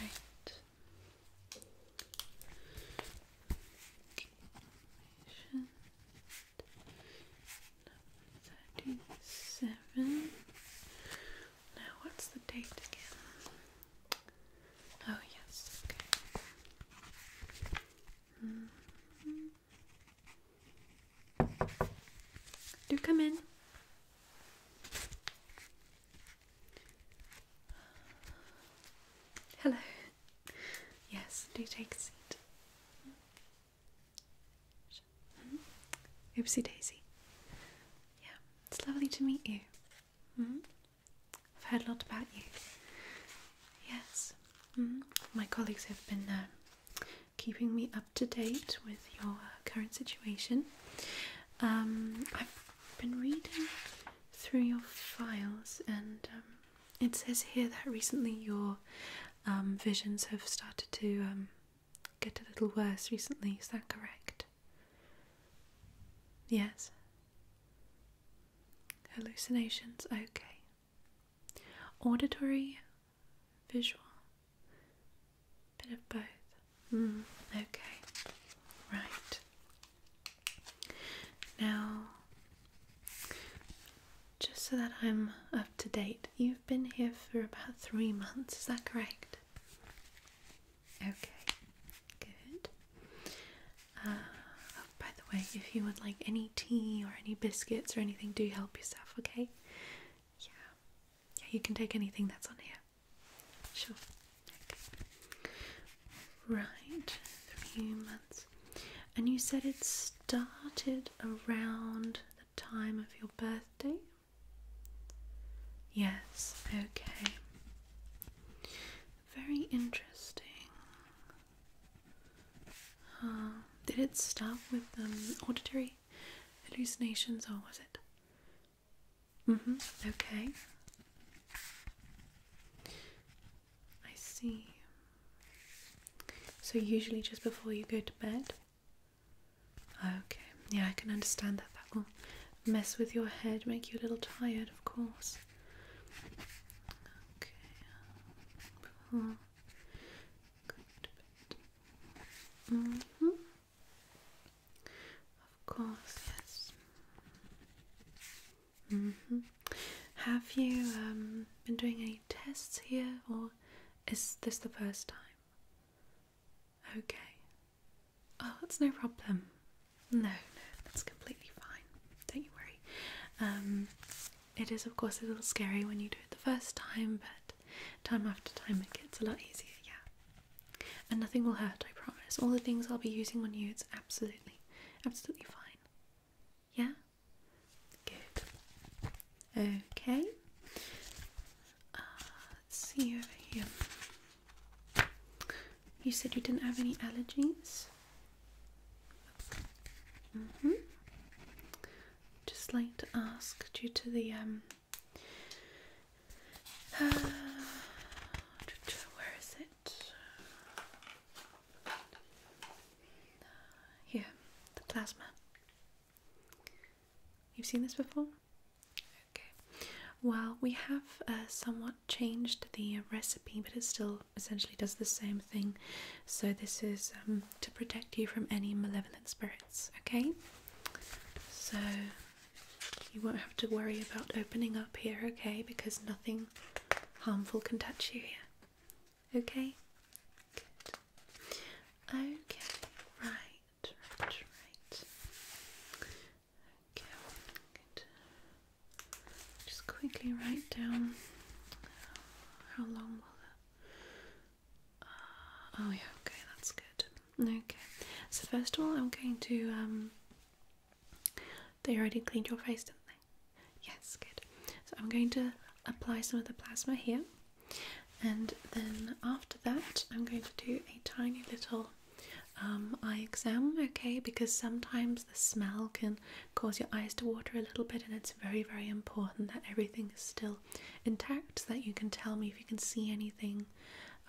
Right. Patient Now, what's the date again? Oh, yes, okay. Mm-hmm. Do come in. Hello. Yes, do take a seat. Mm-hmm. Oopsie daisy. Yeah, it's lovely to meet you. -hmm. I've heard a lot about you. Yes, -hmm. my colleagues have been uh, keeping me up to date with your uh, current situation. Um, I've been reading through your files, and um, it says here that recently your um, visions have started to get a little worse recently. Is that correct? Yes. Hallucinations, okay. Auditory, visual, Bit of both. Mm, okay. Right. Now, just so that I'm up to date, you've been here for about three months, is that correct? Okay, good. Uh, oh, by the way, if you would like any tea or any biscuits or anything, do help yourself, okay? Yeah. Yeah, you can take anything that's on here. Sure. Right, three months. And you said it started around the time of your birthday? Yes, okay. Very interesting. did it start with um, auditory hallucinations or was it Mm-hmm. Okay. I see. So usually just before you go to bed. Okay. Yeah, I can understand that. That will mess with your head, make you a little tired, of course. Okay. go to bed. Mm-hmm. Of course, yes. Mm-hmm. Have you um, been doing any tests here, or is this the first time? Okay. Oh, that's no problem. No, no, that's completely fine. Don't you worry. Um, it is, of course, a little scary when you do it the first time, but time after time it gets a lot easier, yeah. And nothing will hurt, I promise. All the things I'll be using on you, it's absolutely, absolutely fine. Yeah? Good. Okay. Uh, let's see over here. You said you didn't have any allergies? hmm Just like to ask, due to the um, where is it? Here, the plasma. You've seen this before? Okay. Well, we have uh, somewhat changed the recipe, but it still essentially does the same thing. So, this is um, to protect you from any malevolent spirits okay? So you won't have to worry about opening up here, okay? Because nothing harmful can touch you here, okay? Okay, right, right, right. Okay, Just quickly write down how long will the oh yeah, okay, that's good. Okay, so first of all, I'm going to. Um, they already cleaned your face, didn't they? Yes, good. So I'm going to apply some of the plasma here, and then after that, I'm going to do a tiny little um, eye exam, okay? Because sometimes the smell can cause your eyes to water a little bit, and it's very, very important that everything is still intact so that you can tell me if you can see anything,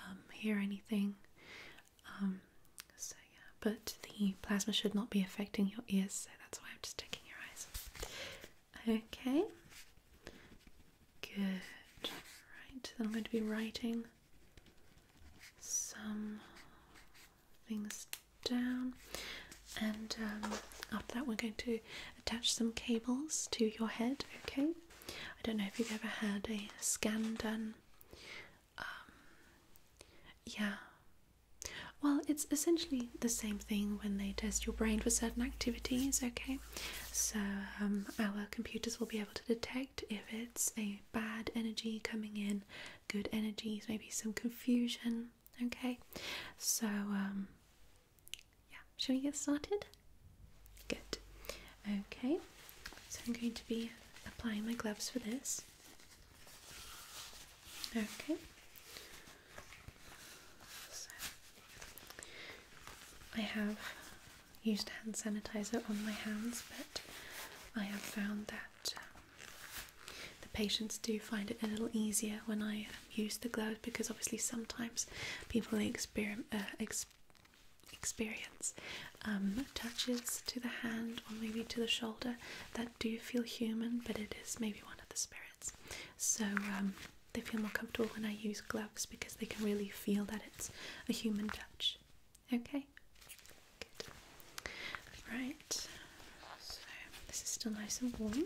um, hear anything. Um, so, yeah, but the plasma should not be affecting your ears, so that's why I'm just checking your eyes. Okay, good. Right, then I'm going to be writing some things down, and um, after that, we're going to attach some cables to your head, okay? I don't know if you've ever had a scan done. Um, yeah. Well, it's essentially the same thing when they test your brain for certain activities, okay? So, um, our computers will be able to detect if it's a bad energy coming in, good energies, maybe some confusion, okay? So, um, yeah, shall we get started? Good. Okay, so I'm going to be applying my gloves for this. Okay. So I have used hand sanitizer on my hands, but I have found that um, the patients do find it a little easier when I use the gloves because obviously sometimes people exper uh, experience um, touches to the hand or maybe to the shoulder that do feel human, but it is maybe one of the spirits. So um, they feel more comfortable when I use gloves because they can really feel that it's a human touch. Okay. Right. So this is still nice and warm.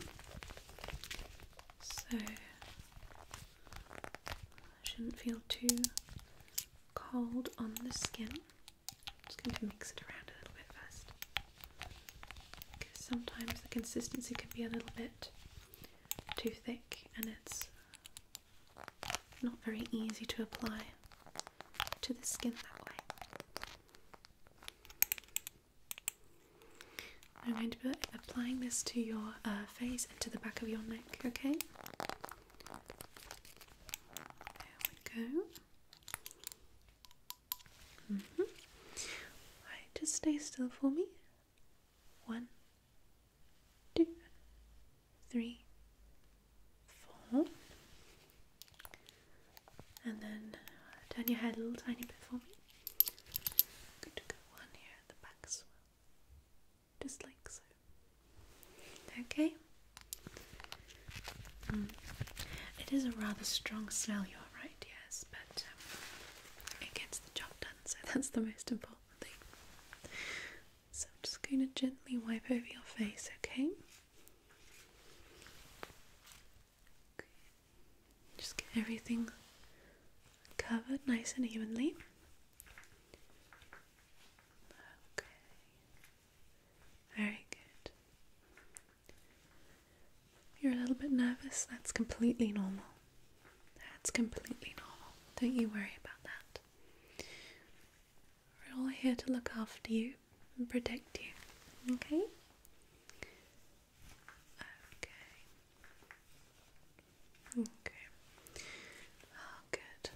So. Shouldn't feel too cold on the skin. I'm just going to mix it around a little bit first. Because sometimes the consistency can be a little bit too thick and it's not very easy to apply to the skin that way. I'm going to be applying this to your uh, face and to the back of your neck, okay? There we go. -hmm. just stay still for me. One, two, three, four. And then turn your head a little tiny bit for me going to go on here at the back as well, just like so. Okay. Mm. It is a rather strong smell, you're right, yes, but um, it gets the job done, so that's the most important thing. So I'm just going to gently wipe over your face, okay? Just get everything covered nice and evenly. Okay. Very good. You're a little bit nervous. That's completely normal. That's completely normal. Don't you worry about that. We're all here to look after you and protect you. Okay? Okay. Okay. Oh, good.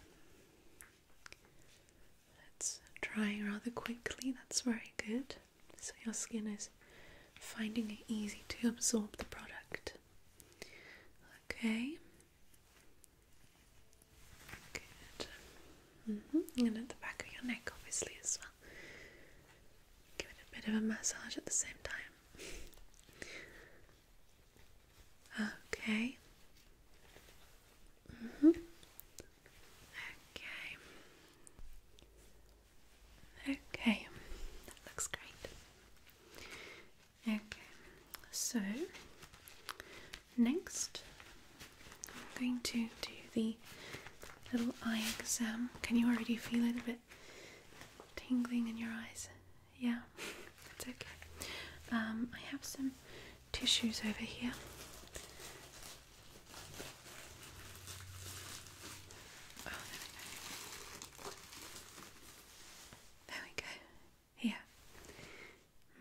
That's drying rather quickly. That's very good. So your skin is finding it easy to absorb the product. Okay. Good. Mm-hmm. And at the back of your neck, obviously, as Give it a bit of a massage at the same time. Okay. hmm. Okay. Okay, that looks great. Okay, so next I'm going to do the little eye exam. Can you already feel it a bit tingling in your eyes? Yeah, it's okay. Um, I have some tissues over here. Oh, there we go. There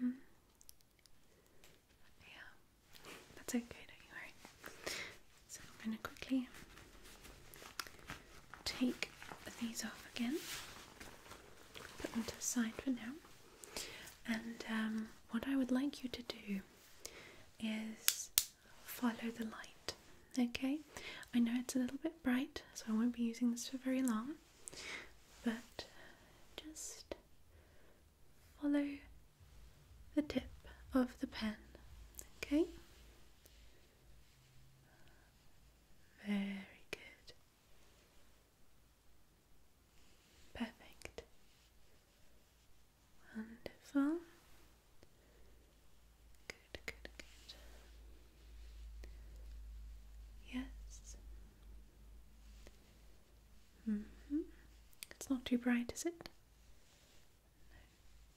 hmm. Yeah, that's okay, don't you worry. So I'm going to quickly take these off again, put them to the side for now. And um, what I would like you to do is follow the light. Okay, I know it's a little bit bright, so I won't be using this for very long, but just follow the tip of the pen. Okay? Very good. Perfect. Wonderful. Good, good, good. Yes. -hmm. It's not too bright, is it?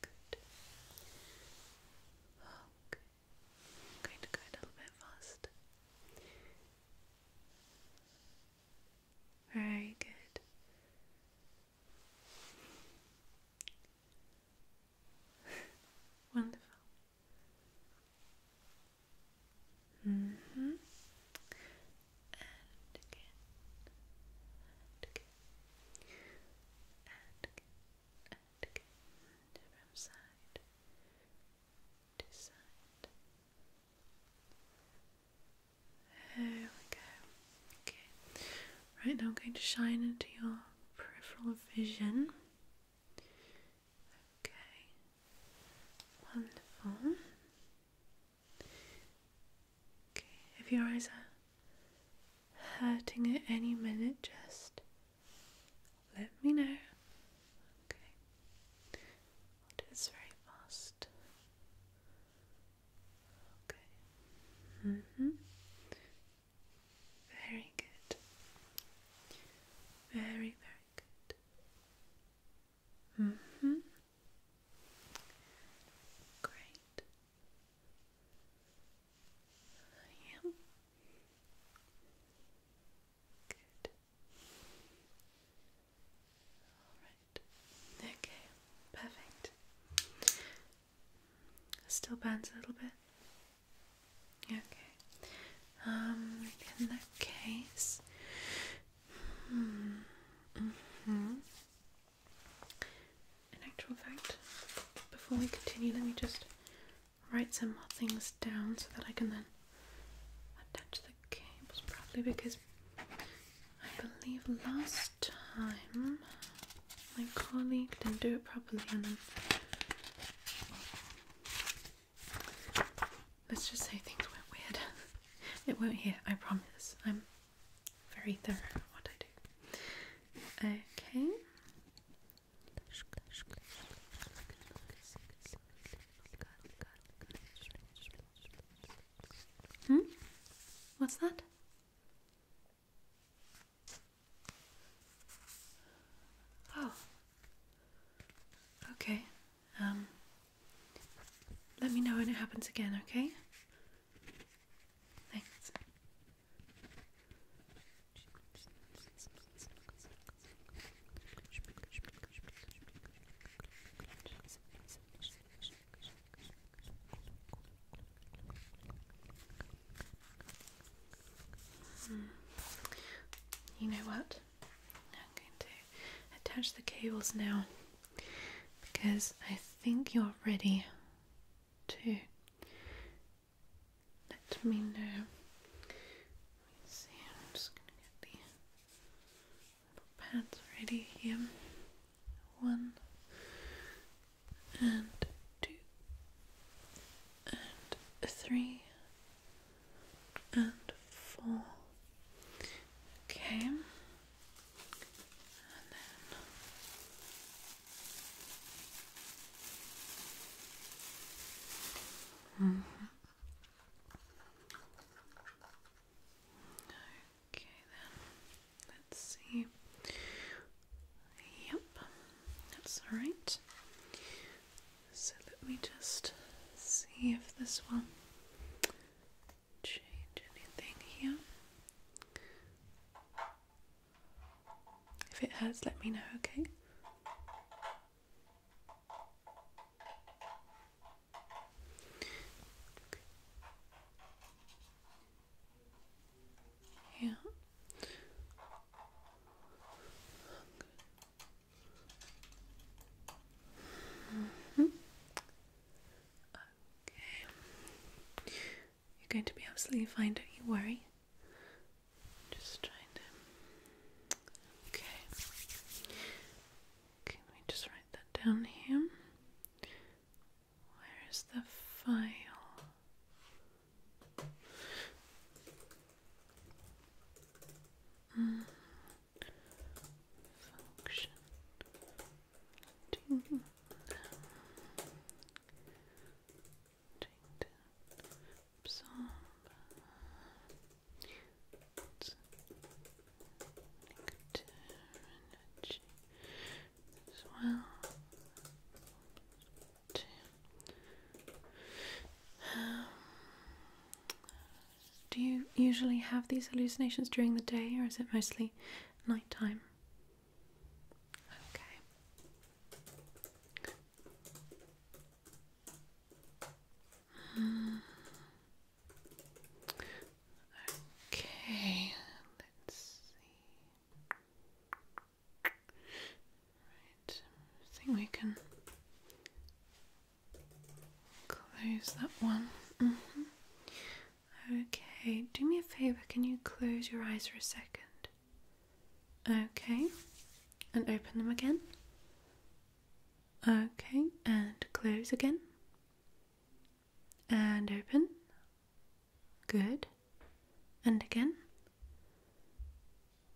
good. Okay. i going to go a little bit faster. Very good. Wonderful. Mm hmm and again, and again, and again, and again, from side to side. There we go. Okay. Right now I'm going to shine into your peripheral vision. Okay. Wonderful. Okay, if your eyes are hurting at any minute, just let me know. Okay, I'll do this very fast. Okay. Mm-hmm. Very good. Very, very good. Mm hmm. Great. Yeah. Good. Alright. Okay, perfect. Still burns a little bit. Okay. Um, in that case, hmm. -hmm. In actual fact, before we continue, let me just write some more things down so that I can then attach the cables properly because I believe last time my colleague didn't do it properly and let's just say things went weird. it won't here, I promise. I'm very thorough at what I do. Okay. Hmm? What's that? Oh. Okay. Um let me know when it happens again, okay? You know what? I'm going to attach the cables now because I think you're ready to let me know. Let's see, I'm just going to get the pads ready here. One and two and three and four. Okay, Okay, then let's see. Yep, that's all right. So let me just see if this one change anything here. If it hurts, let me know, okay? Yeah. -hmm. Okay. You're going to be absolutely fine, don't you worry. Just trying to. Okay. Can we just write that down here? Where is the file? Mm-hmm function ding, ding, absorb energy as well to do you usually have these hallucinations during the day or is it mostly nighttime? Okay. Okay, let's see. Right, I think we can Close that one. Mm-hmm. Okay, do me a favor, can you close your eyes for a second? Okay, and open them again. Okay, and close again. And open. Good. And again.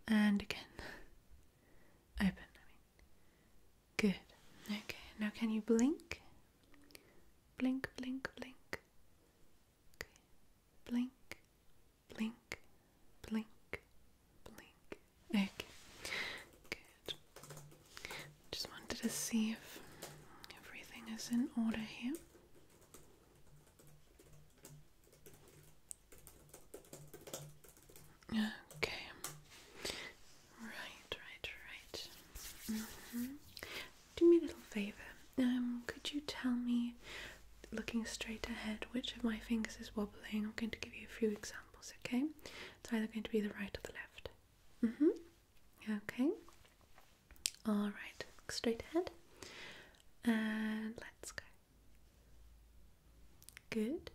And again. open, Good. Okay, now can you blink? Blink, blink, blink. Okay. Blink, blink, blink, blink. Okay. Good. Just wanted to see if everything is in order here. Okay. Right, right, right. Mm-hmm. Do me a little favor. Um, could you tell me, looking straight ahead, which of my fingers is wobbling? I'm going to give you a few examples, okay? It's either going to be the right or the left. Mm hmm. Okay. All right. straight ahead. And let's go. Good.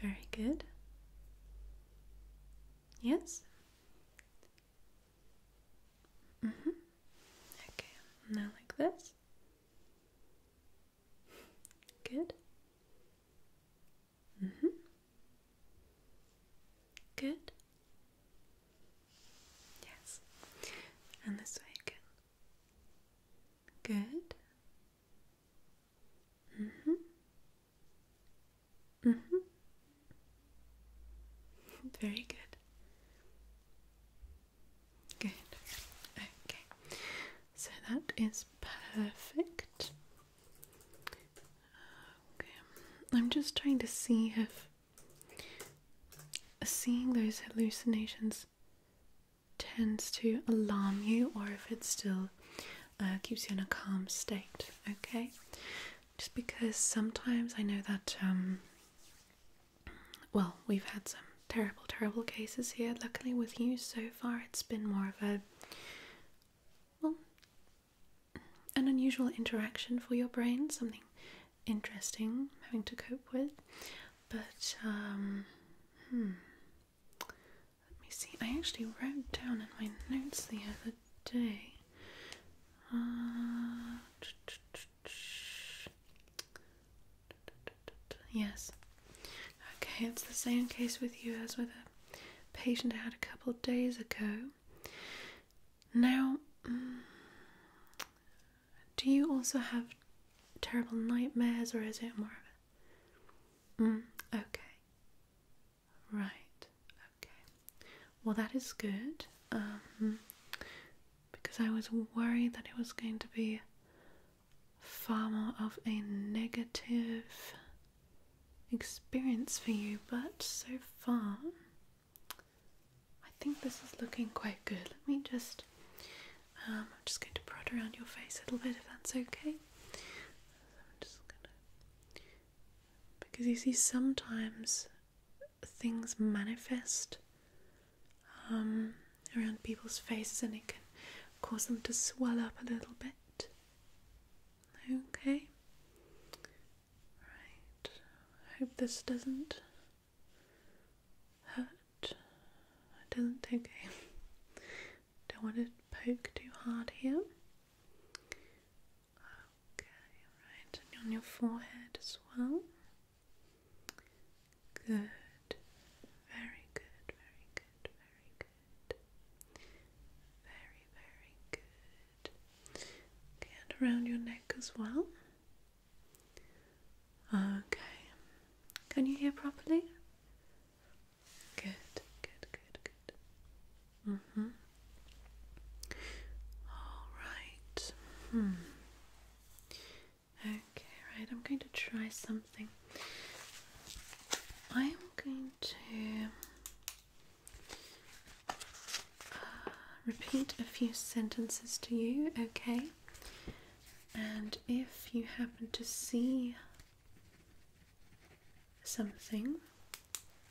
Very good. Yes? Mm hmm. Okay, now like this. Good. Mm hmm. Good. Yes. And this way again. Good. Mm-hmm. Mm-hmm. Very good. Good. Okay. So that is perfect. Okay. I'm just trying to see if seeing those hallucinations tends to alarm you or if it still uh, keeps you in a calm state, okay? Just because sometimes I know that, um, well, we've had some terrible, terrible cases here. Luckily, with you so far, it's been more of a, well, an unusual interaction for your brain, something interesting having to cope with. But, um, hmm. Let me see. I actually wrote down in my notes the other day. Uh, yes. Okay, it's the same case with you as with a patient I had a couple of days ago. Now, mm, do you also have terrible nightmares, or is it more of Mm, okay. Right. Okay. Well, that is good. Um, because I was worried that it was going to be far more of a negative experience for you, but so far, I think this is looking quite good. Let me just um, I'm just going to prod around your face a little bit if that's okay. because you see sometimes things manifest um, around people's faces and it can cause them to swell up a little bit. Okay. Right. I hope this doesn't hurt. doesn't okay. Don't want to poke too hard here. Okay, right, on your forehead as well. Good. Very good, very good, very good. Very, very good. and around your neck as well. Okay. Can you hear properly? Good, good, good, good. Mm-hmm. All right. Hmm. Okay, right. I'm going to try something. I am going to uh, repeat a few sentences to you, okay? and if you happen to see something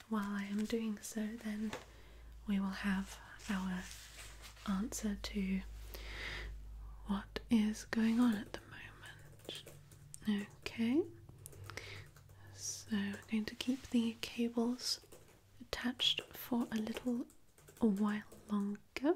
while I am doing so, then we will have our answer to what is going on at the moment. Okay, so we're going to keep the cables attached for a little while longer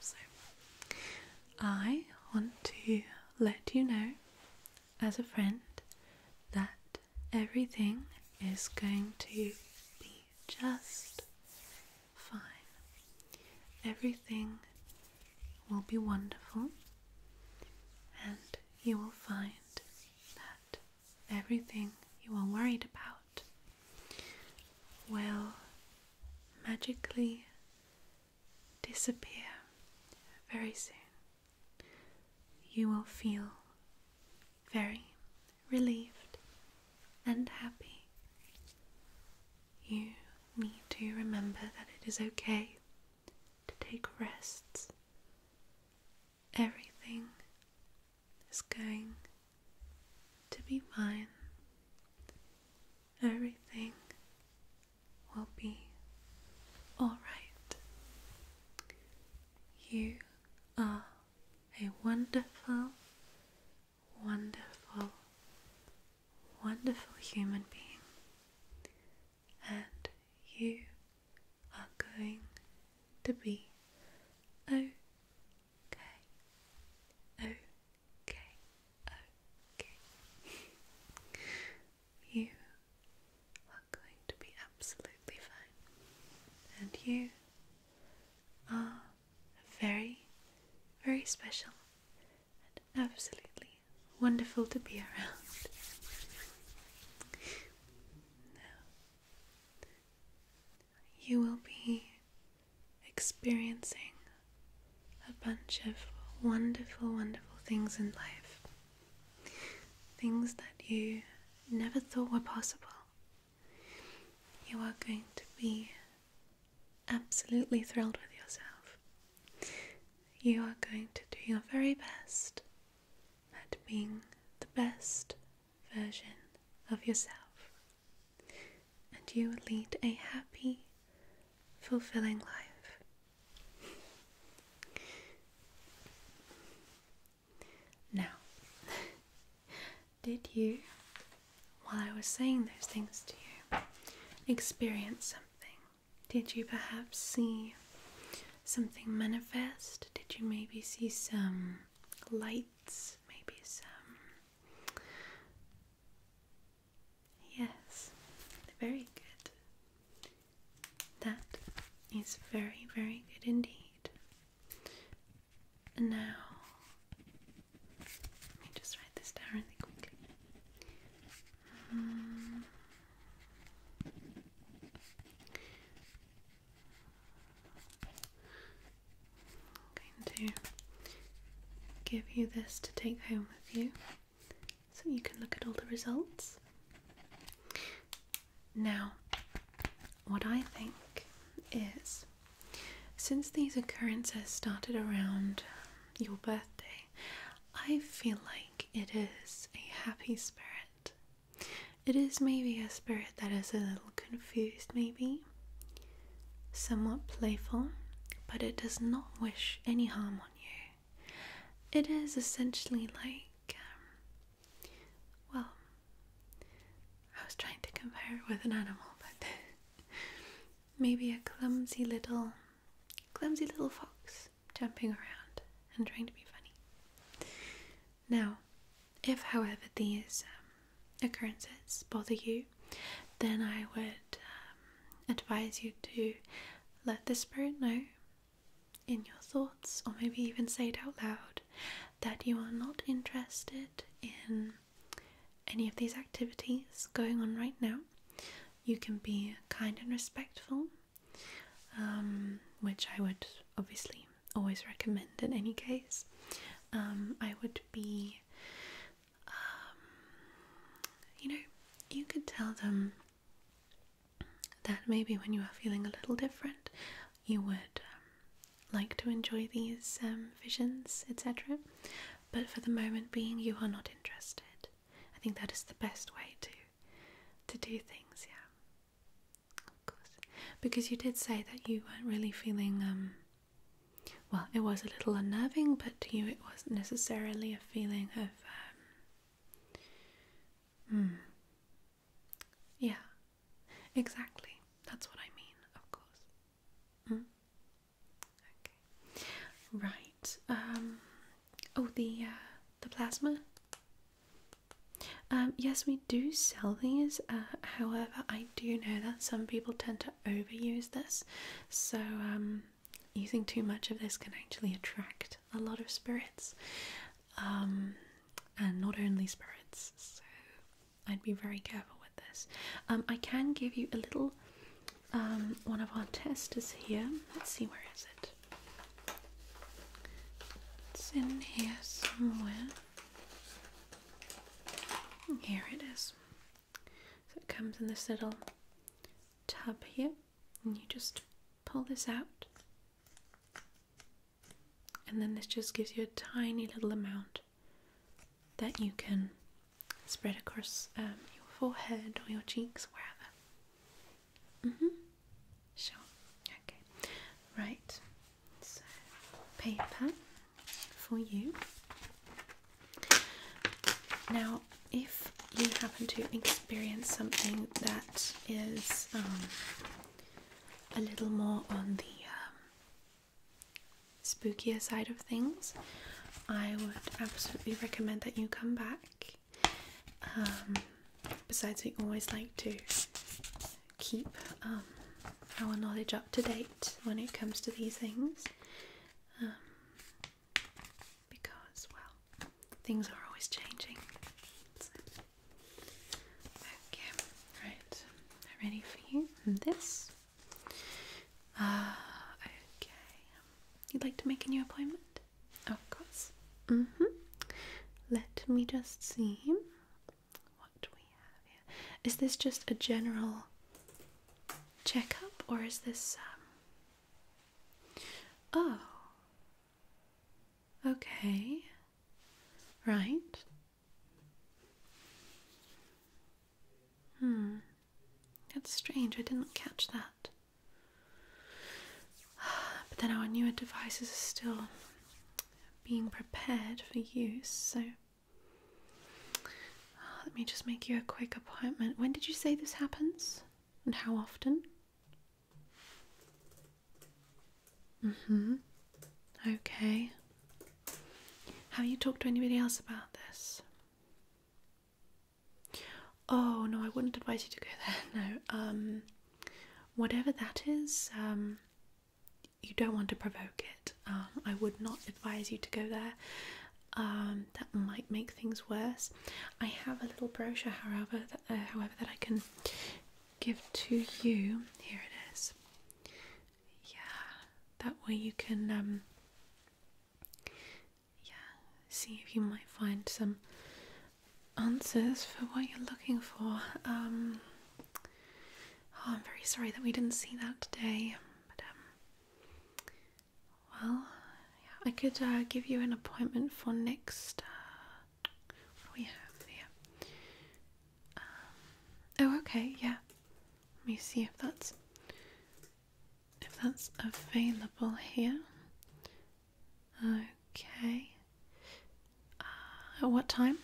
So, I want to let you know, as a friend, that everything is going to be just fine. Everything will be wonderful, and you will find that everything you are worried about will magically disappear very soon. You will feel very relieved and happy. You need to remember that it is okay to take rests. Everything is going to be fine everything will be alright. You are a wonderful, wonderful, wonderful human being, and you are going to be okay. Okay okay, okay. you are going to be absolutely fine, and you are very, very special and absolutely wonderful to be around. now, you will be experiencing a bunch of wonderful, wonderful things in life. Things that you never thought were possible. You are going to be absolutely thrilled with yourself. You are going to do your very best at being the best version of yourself and you will lead a happy, fulfilling life. Now, did you, while I was saying those things to you, experience something? Did you perhaps see something manifest? Did you maybe see some lights? Maybe some Yes, very good. That is very, very good indeed. now, let me just write this down really quickly. Um, I'm going to give you this to take home with you so you can look at all the results. Now, what I think is since these occurrences started around your birthday, I feel like it is a happy spirit. It is maybe a spirit that is a little confused, maybe, somewhat playful, but it does not wish any harm on you. It is essentially like, um, well, I was trying to compare it with an animal, but maybe a clumsy little, clumsy little fox jumping around and trying to be funny. Now, if, however, these um, occurrences bother you, then I would um, advise you to let the spirit know in your thoughts, or maybe even say it out loud, that you are not interested in any of these activities going on right now. You can be kind and respectful, um, which I would obviously always recommend in any case. Um, I would be um, you know, you could tell them that maybe when you are feeling a little different, you would um, like to enjoy these um, visions, etc. But for the moment being, you are not interested. I think that is the best way to to do things. Yeah, of course, because you did say that you weren't really feeling well, it was a little unnerving, but to you, it wasn't necessarily a feeling of. Um, hmm. yeah, exactly. That's what I mean, of course. Mm? Okay. Right. Um. Oh, the uh, the plasma. Um. Yes, we do sell these. Uh, however, I do know that some people tend to overuse this. So, um, using too much of this can actually attract a lot of spirits, um, and not only spirits. So, I'd be very careful with this. Um, I can give you a little one of our testers here. Let's see, where is it? It's in here somewhere. Here it is. So it comes in this little tub here, and you just pull this out, and then this just gives you a tiny little amount that you can spread across um, your forehead or your cheeks, wherever. hmm. Sure. Okay. Right. So, paper for you. Now, if you happen to experience something that is um, a little more on the um, spookier side of things, I would absolutely recommend that you come back. Um, besides, we always like to keep um, our knowledge up to date when it comes to these things um, because, well, things are always changing. Okay, right, ready for you. this. Ah, okay. You'd like to make a new appointment? Of course. Mm hmm. Let me just see what do we have here? Is this just a general checkup or is this um Oh. Okay. Right. Hmm. That's strange. I didn't catch that. But then our newer devices are still being prepared for use, so uh, let me just make you a quick appointment. When did you say this happens? And how often? Mm hmm. Okay. Have you talked to anybody else about this? Oh, no, I wouldn't advise you to go there. No. Um, whatever that is, um, you don't want to provoke it. Um, I would not advise you to go there. Um, that might make things worse. I have a little brochure, however, that, uh, however that I can give to you. Here it is. Yeah, that way you can, um, yeah, see if you might find some answers for what you're looking for. Oh, I'm very sorry that we didn't see that today. But um, well, yeah, I could uh, give you an appointment for next. Uh, we have here? Um, oh, okay, yeah. Let me see if that's if that's available here. Okay. at uh, what time?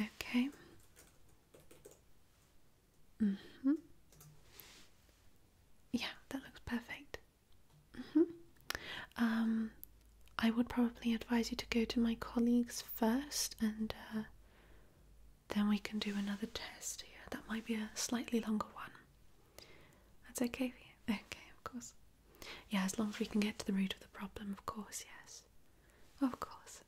Okay. Mhm. Mm yeah, that looks perfect. Mhm. Mm um, I would probably advise you to go to my colleagues first, and uh, then we can do another test. here. that might be a slightly longer one. That's okay for you. Okay, of course. Yeah, as long as we can get to the root of the problem, of course. Yes. Of course.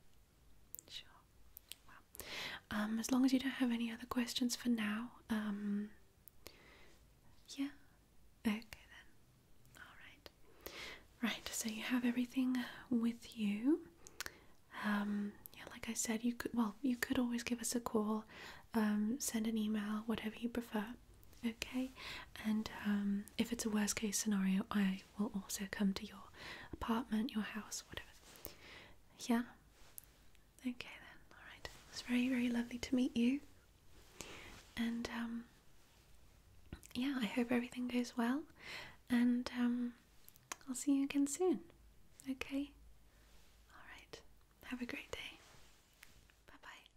Sure. um, as long as you don't have any other questions for now, um, yeah. Okay then. All right. Right. So you have everything with you. Um, yeah, like I said, you could. Well, you could always give us a call, um, send an email, whatever you prefer. Okay. And um, if it's a worst case scenario, I will also come to your apartment, your house, whatever. Yeah? Okay then, alright. It's very, very lovely to meet you. And, um, yeah, I hope everything goes well. And, um, I'll see you again soon. Okay? Alright. Have a great day. Bye bye.